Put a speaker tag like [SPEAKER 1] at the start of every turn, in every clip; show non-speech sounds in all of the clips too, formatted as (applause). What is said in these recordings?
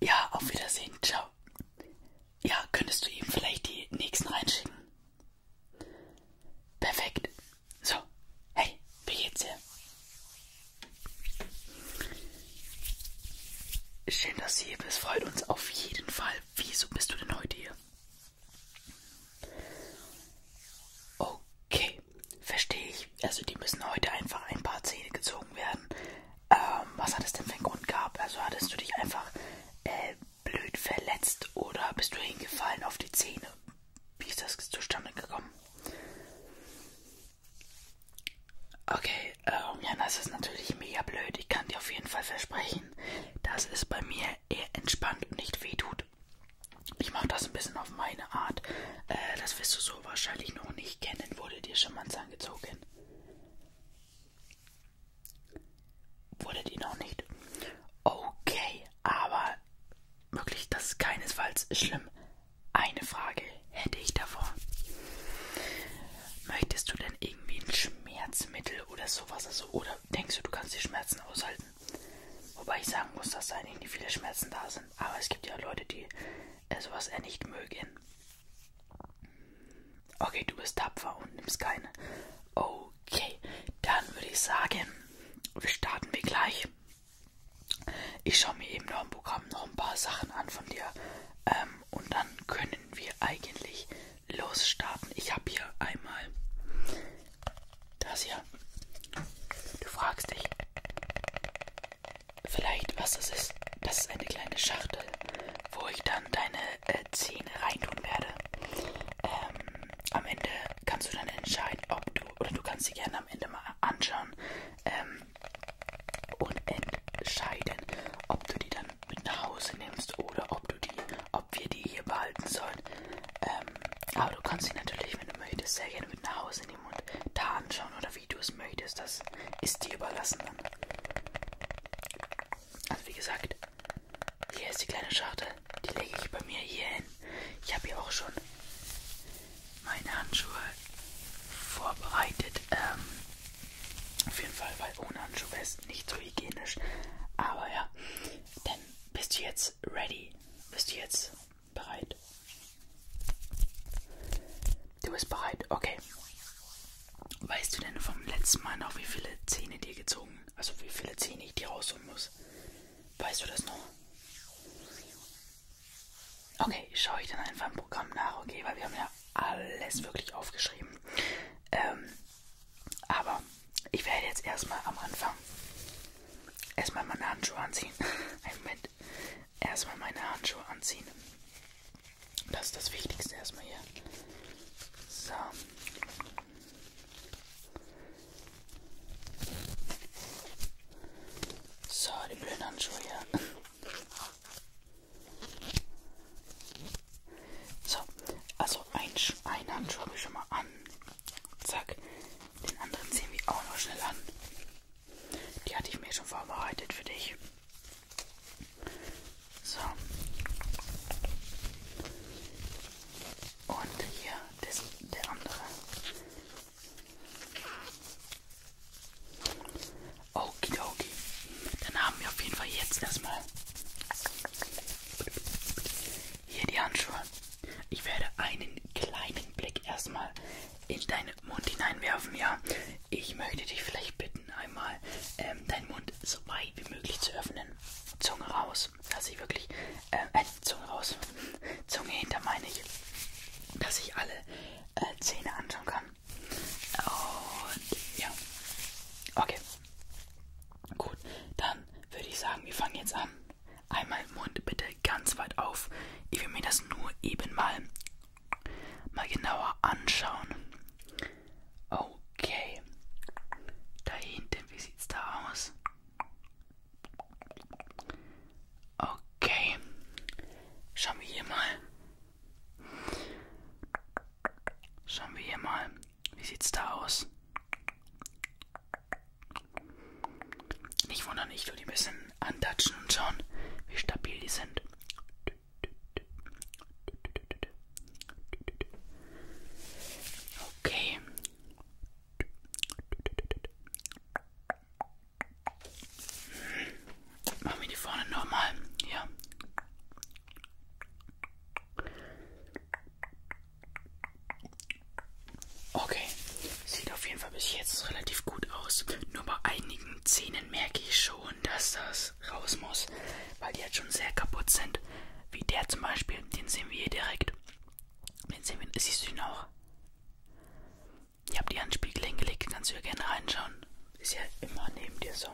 [SPEAKER 1] Ja, auf Wiedersehen. Ciao. Ja, könntest du ihm vielleicht die nächsten reinschicken? Perfekt. So, hey, wie geht's dir? Schön, dass du hier bist. Freut uns auf jeden Fall. Wieso bist du denn heute hier? Okay, verstehe ich. Also die müssen heute einfach ein paar Zähne gezogen werden. Ähm, was hat es denn für einen Grund gehabt? Also hattest du dich einfach äh, blöd verletzt oder bist du hingefallen auf die Zähne? Wie ist das zustande gekommen? Okay, ähm, ja, das ist natürlich mega blöd. Ich kann dir auf jeden Fall versprechen, dass es bei mir eher entspannt und nicht wehtut. Ich mache das ein bisschen auf meine Art. Äh, das wirst du so wahrscheinlich noch nicht kennen. Wurde dir schon mal ein Zahn gezogen? Wurdet ihr noch nicht? Okay, aber wirklich, das ist keinesfalls schlimm. Eine Frage hätte ich davor. Möchtest du denn irgendwie ein Schmerzmittel oder sowas? Also, oder denkst du, du kannst die Schmerzen aushalten? Wobei ich sagen muss, dass da eigentlich nicht viele Schmerzen da sind. Aber es gibt ja Leute, die äh, sowas eher nicht mögen. Okay, du bist tapfer und nimmst keine. Okay, dann würde ich sagen, wir starten wir gleich. Ich schaue mir eben noch im Programm noch ein paar Sachen an von dir. Ähm, und dann können wir eigentlich losstarten. Ich habe hier einmal das hier. Du fragst dich, Vielleicht, was das ist, das ist eine kleine Schachtel, wo ich dann deine äh, Zähne reintun werde. Ähm, am Ende kannst du dann entscheiden, ob du, oder du kannst sie gerne am Ende mal anschauen ähm, und entscheiden, ob du die dann mit nach Hause nimmst oder ob du die, ob wir die hier behalten sollen. Ähm, aber du kannst sie natürlich, wenn du möchtest, sehr gerne mit nach Hause nehmen und da anschauen oder wie wie du es möchtest, das ist dir überlassen dann. Also wie gesagt, hier ist die kleine Schachtel. Die lege ich bei mir hier hin. Ich habe hier auch schon meine Handschuhe vorbereitet. Ähm, auf jeden Fall, weil ohne Handschuhe wäre es nicht so hygienisch. Aber ja, dann bist du jetzt ready. Bist du jetzt bereit? Du bist bereit, okay. Weißt du denn vom letzten Mal noch, wie viele Zähne dir gezogen? Also wie viele Zähne ich dir rausholen muss? Weißt du das noch? Okay, schaue ich dann einfach im Programm nach, okay, weil wir haben ja alles wirklich aufgeschrieben. Ähm, aber ich werde jetzt erstmal am Anfang erstmal meine Handschuhe anziehen. (laughs) Einen Moment erstmal meine Handschuhe anziehen. Das ist das Wichtigste erstmal hier. So. So, die blöden Handschuhe hier. So, also ein, einen Handschuh habe ich schon mal an. Zack. Den anderen ziehen wir auch noch schnell an. Die hatte ich mir schon vorbereitet für dich. So. Und hier das, der andere. Okidoki. Dann haben wir auf jeden Fall jetzt erstmal hier die Handschuhe. Ich werde einen kleinen Blick erstmal in deine in den Mund hineinwerfen, ja? Ich möchte dich vielleicht bitten, einmal ähm, deinen Mund so weit wie möglich zu öffnen. Zunge raus, dass ich wirklich, äh, äh Zunge raus, (laughs) Zunge hinter meine ich, dass ich alle äh, Zähne anschauen kann. Und ja, okay. Gut, dann würde ich sagen, wir fangen jetzt an. Einmal Mund bitte ganz weit auf. Ich will mir das nur eben mal mal genauer anschauen. Okay. Da hinten, wie sieht's da aus? Okay. Schauen wir hier mal. Schauen wir hier mal. Wie sieht's da aus? Nicht wundern, ich tue die ein bisschen antatschen und schauen, wie stabil die sind. Dü, Okay. Machen wir die vorne nochmal. Ja. Okay. Sieht auf jeden Fall bis jetzt relativ gut aus. Nur bei einigen einigen Zähnen merke ich schon, dass das raus muss, weil die jetzt halt schon sehr kaputt sind. Wie der zum Beispiel, den sehen wir hier direkt. Den sehen wir, siehst du ihn auch? Ich habe die Handspiegel hingelegt, kannst du ja gerne reinschauen. Ist ja immer neben dir so.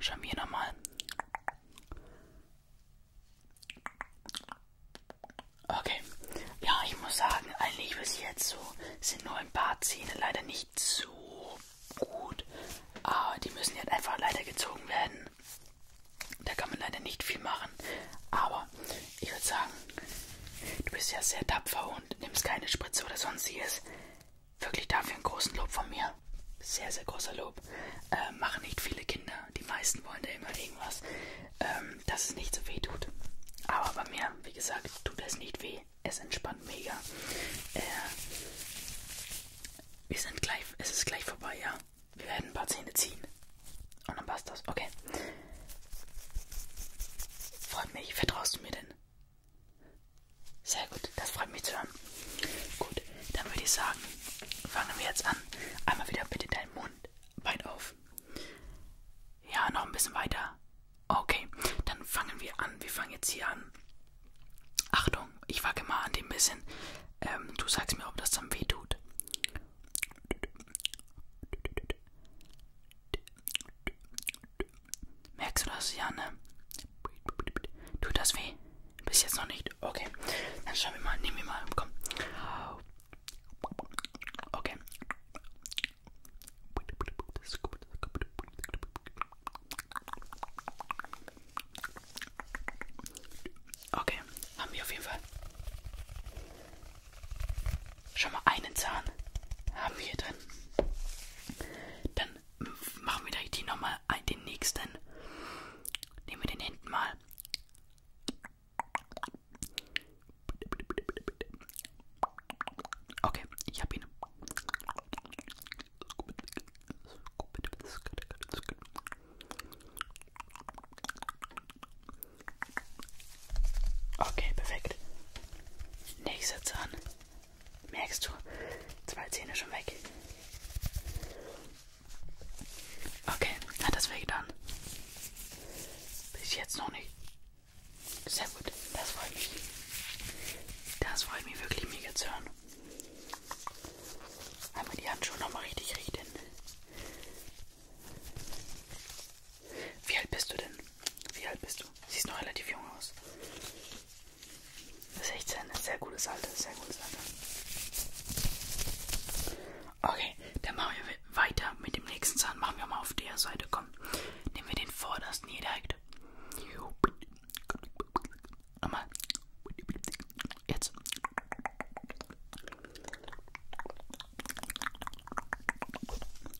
[SPEAKER 1] Schauen wir nochmal. Okay. Ja, ich muss sagen, eigentlich bis jetzt so sind nur ein paar Zähne leider nicht so gut. Aber die müssen jetzt einfach leider gezogen werden. Da kann man leider nicht viel machen. Aber ich würde sagen, du bist ja sehr tapfer und nimmst keine Spritze oder sonstiges. Wirklich dafür einen großen Lob von mir. Sehr, sehr großer Lob. Äh, machen nicht viele Kinder. Die meisten wollen da immer irgendwas, ähm, dass es nicht so weh tut. Aber bei mir, wie gesagt, tut es nicht weh ey, es entspannt mega. Äh, wir sind gleich, es ist gleich vorbei, ja. Wir werden ein paar Zähne ziehen. Und dann passt das. Okay. Freut mich. Vertraust du mir denn? Sehr gut. Das freut mich zu hören. Gut. Dann würde ich sagen, fangen wir jetzt an. Einmal wieder bitte deinen Mund weit auf. Ja, noch ein bisschen weiter. Okay, dann fangen wir an. Wir fangen jetzt hier an. Achtung, ich wacke mal an dem bisschen. Ähm, du sagst mir, ob das dann weh tut. Merkst du das, Janne? Tut das weh? Bis jetzt noch nicht. Okay, dann schauen wir mal. Nehmen wir mal. Komm. Okay. Okay, haben wir auf jeden Fall. Schon mal einen Zahn haben wir drin. Dann machen wir direkt hier nochmal äh, den nächsten. Nehmen wir den hinten mal. Okay, ich hab ihn. Okay, perfekt. Nächster Zahn. Merkst du? Zwei Zähne schon weg. Okay, hat das wehgetan? Bis jetzt noch nicht. Sehr gut, das freut mich. Das freut mich wirklich mega zu hören. Einmal die Handschuhe nochmal richtig richten. Wie alt bist du denn? Wie alt bist du? Siehst noch relativ jung aus. 16, sehr gutes Alter, sehr gutes Alter. Okay, dann machen wir weiter mit dem nächsten Zahn. Machen wir mal auf der Seite. Komm komm, nehmen wir den vordersten hier direkt. Nochmal. Jetzt.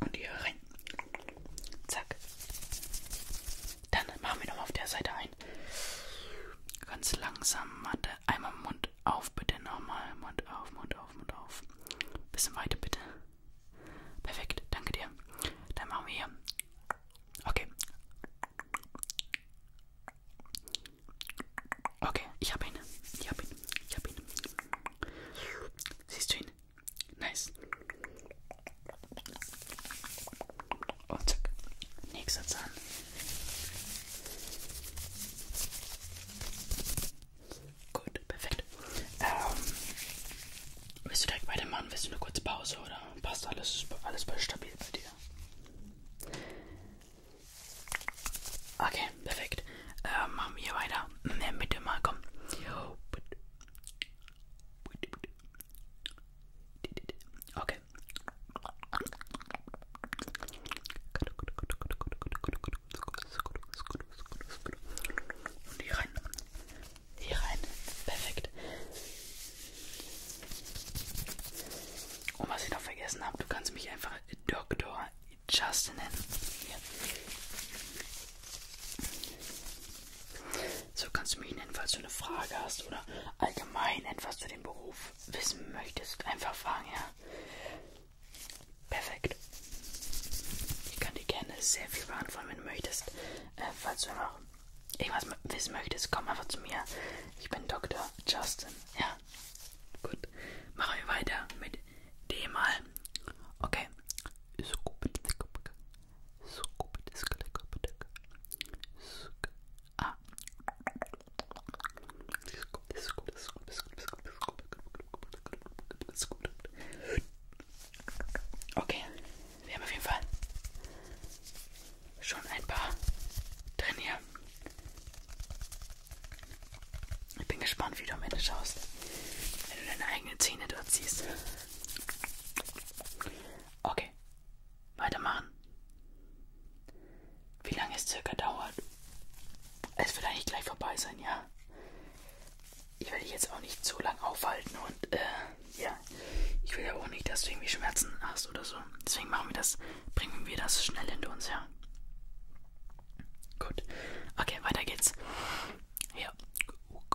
[SPEAKER 1] Und hier rein. Zack. Dann machen wir nochmal auf der Seite ein. Ganz langsam, Mathe. Einmal Mund auf, bitte. Nochmal. Mund auf, Mund auf, Mund auf. Bisschen weiter, bitte. Perfekt, danke dir. Dann machen wir hier. Okay. Okay, ich habe ihn. Ich habe ihn. Ich habe ihn. Siehst du ihn? Nice. Und zack. Nächster Zahn. Gut, perfekt. Ähm, willst du direkt weitermachen? Willst du eine kurze Pause oder passt alles, alles stabil bei dir? Okay, perfekt. Äh, machen wir weiter. Ne, bitte mal, komm. Okay. Gut, gut, gut, gut, gut, gut, gut, gut, und hier rein. Hier rein. Perfekt. Und was ich noch vergessen habe, du kannst mich einfach Dr. Justin nennen. Hier. So kannst du mich nennen, falls du eine Frage hast oder allgemein etwas zu dem Beruf wissen möchtest. Einfach fragen, ja. Perfekt. Ich kann dir gerne sehr viel beantworten, wenn du möchtest. Äh, falls du noch irgendwas wissen möchtest, komm einfach zu mir. Ich bin Dr. Justin. Ja. Gut. Machen wir weiter mit dem mal. Okay. Ah. Das ist gut, das ist gut, das ist gut, das ist gut, das ist gut, das ist gut, das ist gut. Okay, wir haben auf jeden Fall schon ein paar drin hier. Ich bin gespannt, wie du am Ende schaust, wenn du deine eigenen Zähne dort siehst. Okay, weitermachen. Wie lange es circa dauert? Es wird eigentlich gleich vorbei sein, ja? ich werde dich jetzt auch nicht zu lang aufhalten und äh, ja, ich will ja auch nicht, dass du irgendwie Schmerzen hast oder so. Deswegen machen wir das, bringen wir das schnell hinter uns her. Gut. Okay, weiter geht's. Ja. Okay.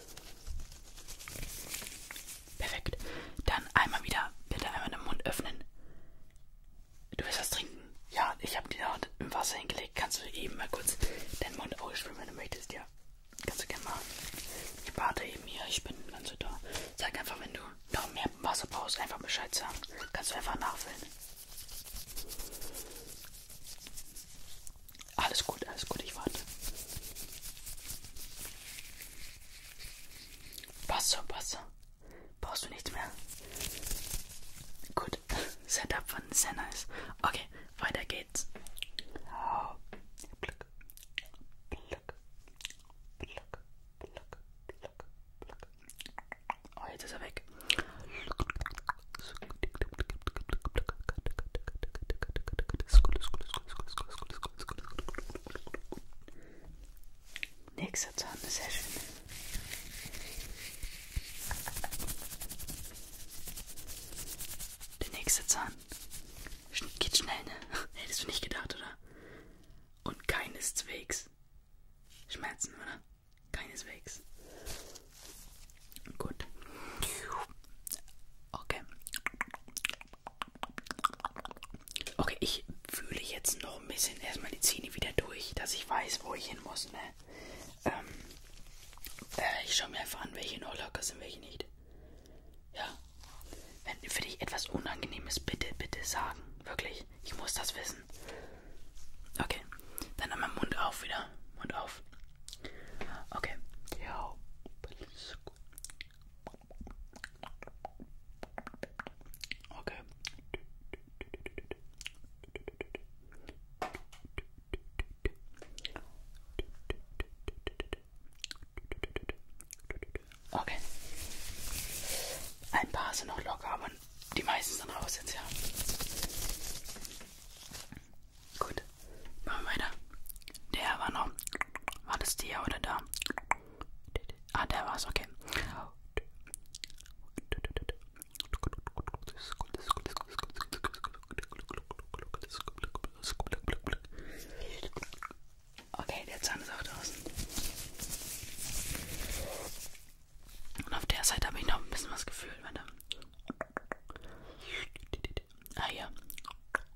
[SPEAKER 1] Perfekt. Dann einmal wieder, bitte einmal den Mund öffnen. Du willst was trinken? Ja, ich habe die Hand im Wasser hingelegt. Kannst du eben mal kurz den Mund ausschwimmen, wenn du möchtest? Ja, kannst du gerne machen. Ich bade eben hier, ich bin ganz so da. Sag einfach, wenn du noch mehr Wasser brauchst, einfach Bescheid sagen. Kannst du einfach nachfüllen. Alles gut, alles gut, ich warte. Passt schon, passt schon. Brauchst du nichts mehr? Gut, (laughs) Setup von sehr nice. Okay, weiter geht's. Oh. Pluck, pluck, pluck, pluck, pluck, pluck. Oh, jetzt ist er weg. Pluck, pluck, pluck, Nächster Zahn ist sehr schön. Der nächste Zahn geht schnell, ne? (laughs) Hättest du nicht gedacht, oder? Und keineswegs. Schmerzen, oder? Keineswegs. Gut. Okay. Okay, ich fühle jetzt noch ein bisschen erstmal die Zähne wieder durch, dass ich weiß, wo ich hin muss, ne? Ähm, äh, ich schaue mir einfach an, welche noch locker sind, welche nicht. Ja. Wenn für dich etwas Unangenehmes, bitte, bitte sagen. Wirklich. Ich muss das wissen. Okay. Dann einmal Mund auf wieder. Mund auf. Okay. Ja, Okay. Okay. Ein paar sind noch locker, aber die meisten sind raus jetzt, ja. Gut, machen wir weiter. Der war noch. War das der oder da? Ah, der war's, okay. Okay, der Zahn ist auch draußen. Und auf der Seite habe ich noch ein bisschen was gefühlt, warte. Ah ja.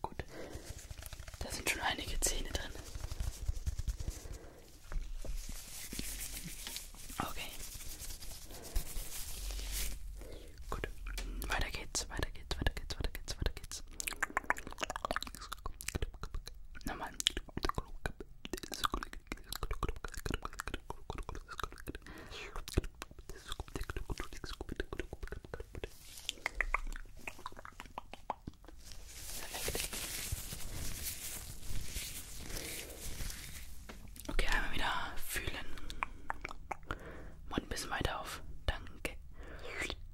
[SPEAKER 1] Gut, da sind schon einige Zähne drin. Okay. Gut. Weiter geht's, weiter geht's, weiter geht's, weiter geht's, weiter geht's. Nochmal. Okay, einmal wieder fühlen. Mund ein bisschen weiter auf. Danke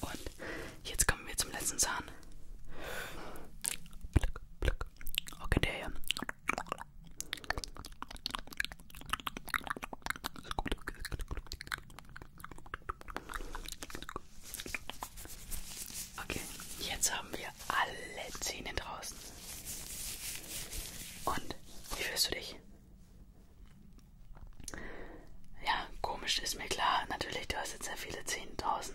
[SPEAKER 1] Und jetzt kommen wir zum letzten Zahn. Okay, der hier. Okay, jetzt haben wir alle Zähne draußen. Und wie fühlst du dich? Ja, komisch ist mir klar. Natürlich, du hast jetzt sehr viele 10.000,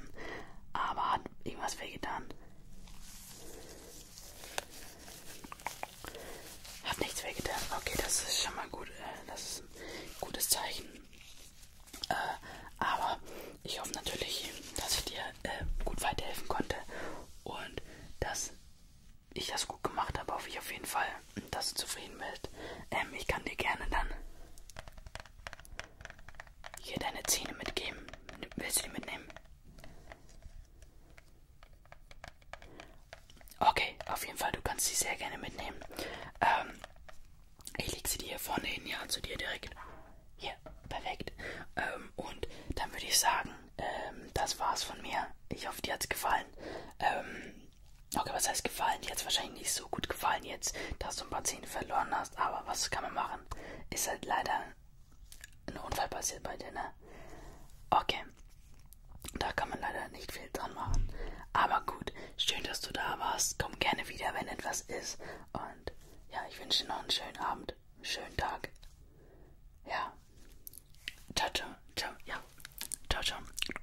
[SPEAKER 1] aber hat irgendwas wehgetan? Hat nichts wehgetan. Okay, das ist schon mal gut. Äh, das ist ein gutes Zeichen. Äh, aber ich hoffe natürlich, dass ich dir äh, gut weiterhelfen konnte und dass ich das gut gemacht habe. Hoffe ich auf jeden Fall dass du zufrieden bist. Ähm, ich kann dir gerne dann hier deine Zähne mitgeben. Willst du die mitnehmen? Okay, auf jeden Fall, du kannst sie sehr gerne mitnehmen. Ähm, ich lege sie dir hier vorne hin, ja, zu dir direkt. Hier, perfekt. Ähm, und dann würde ich sagen, ähm, das war's von mir. Ich hoffe, dir hat's gefallen. Ähm, Okay, was heißt gefallen? Jetzt wahrscheinlich nicht so gut gefallen jetzt, dass du ein paar Zähne verloren hast, aber was kann man machen? Ist halt leider ein Unfall passiert bei dir, ne? Okay. Da kann man leider nicht viel dran machen. Aber gut, schön, dass du da warst. Komm gerne wieder, wenn etwas ist. Und ja, ich wünsche dir noch einen schönen Abend, einen schönen Tag. Ja. Ciao, ciao. Ciao, ja. Ciao, ciao.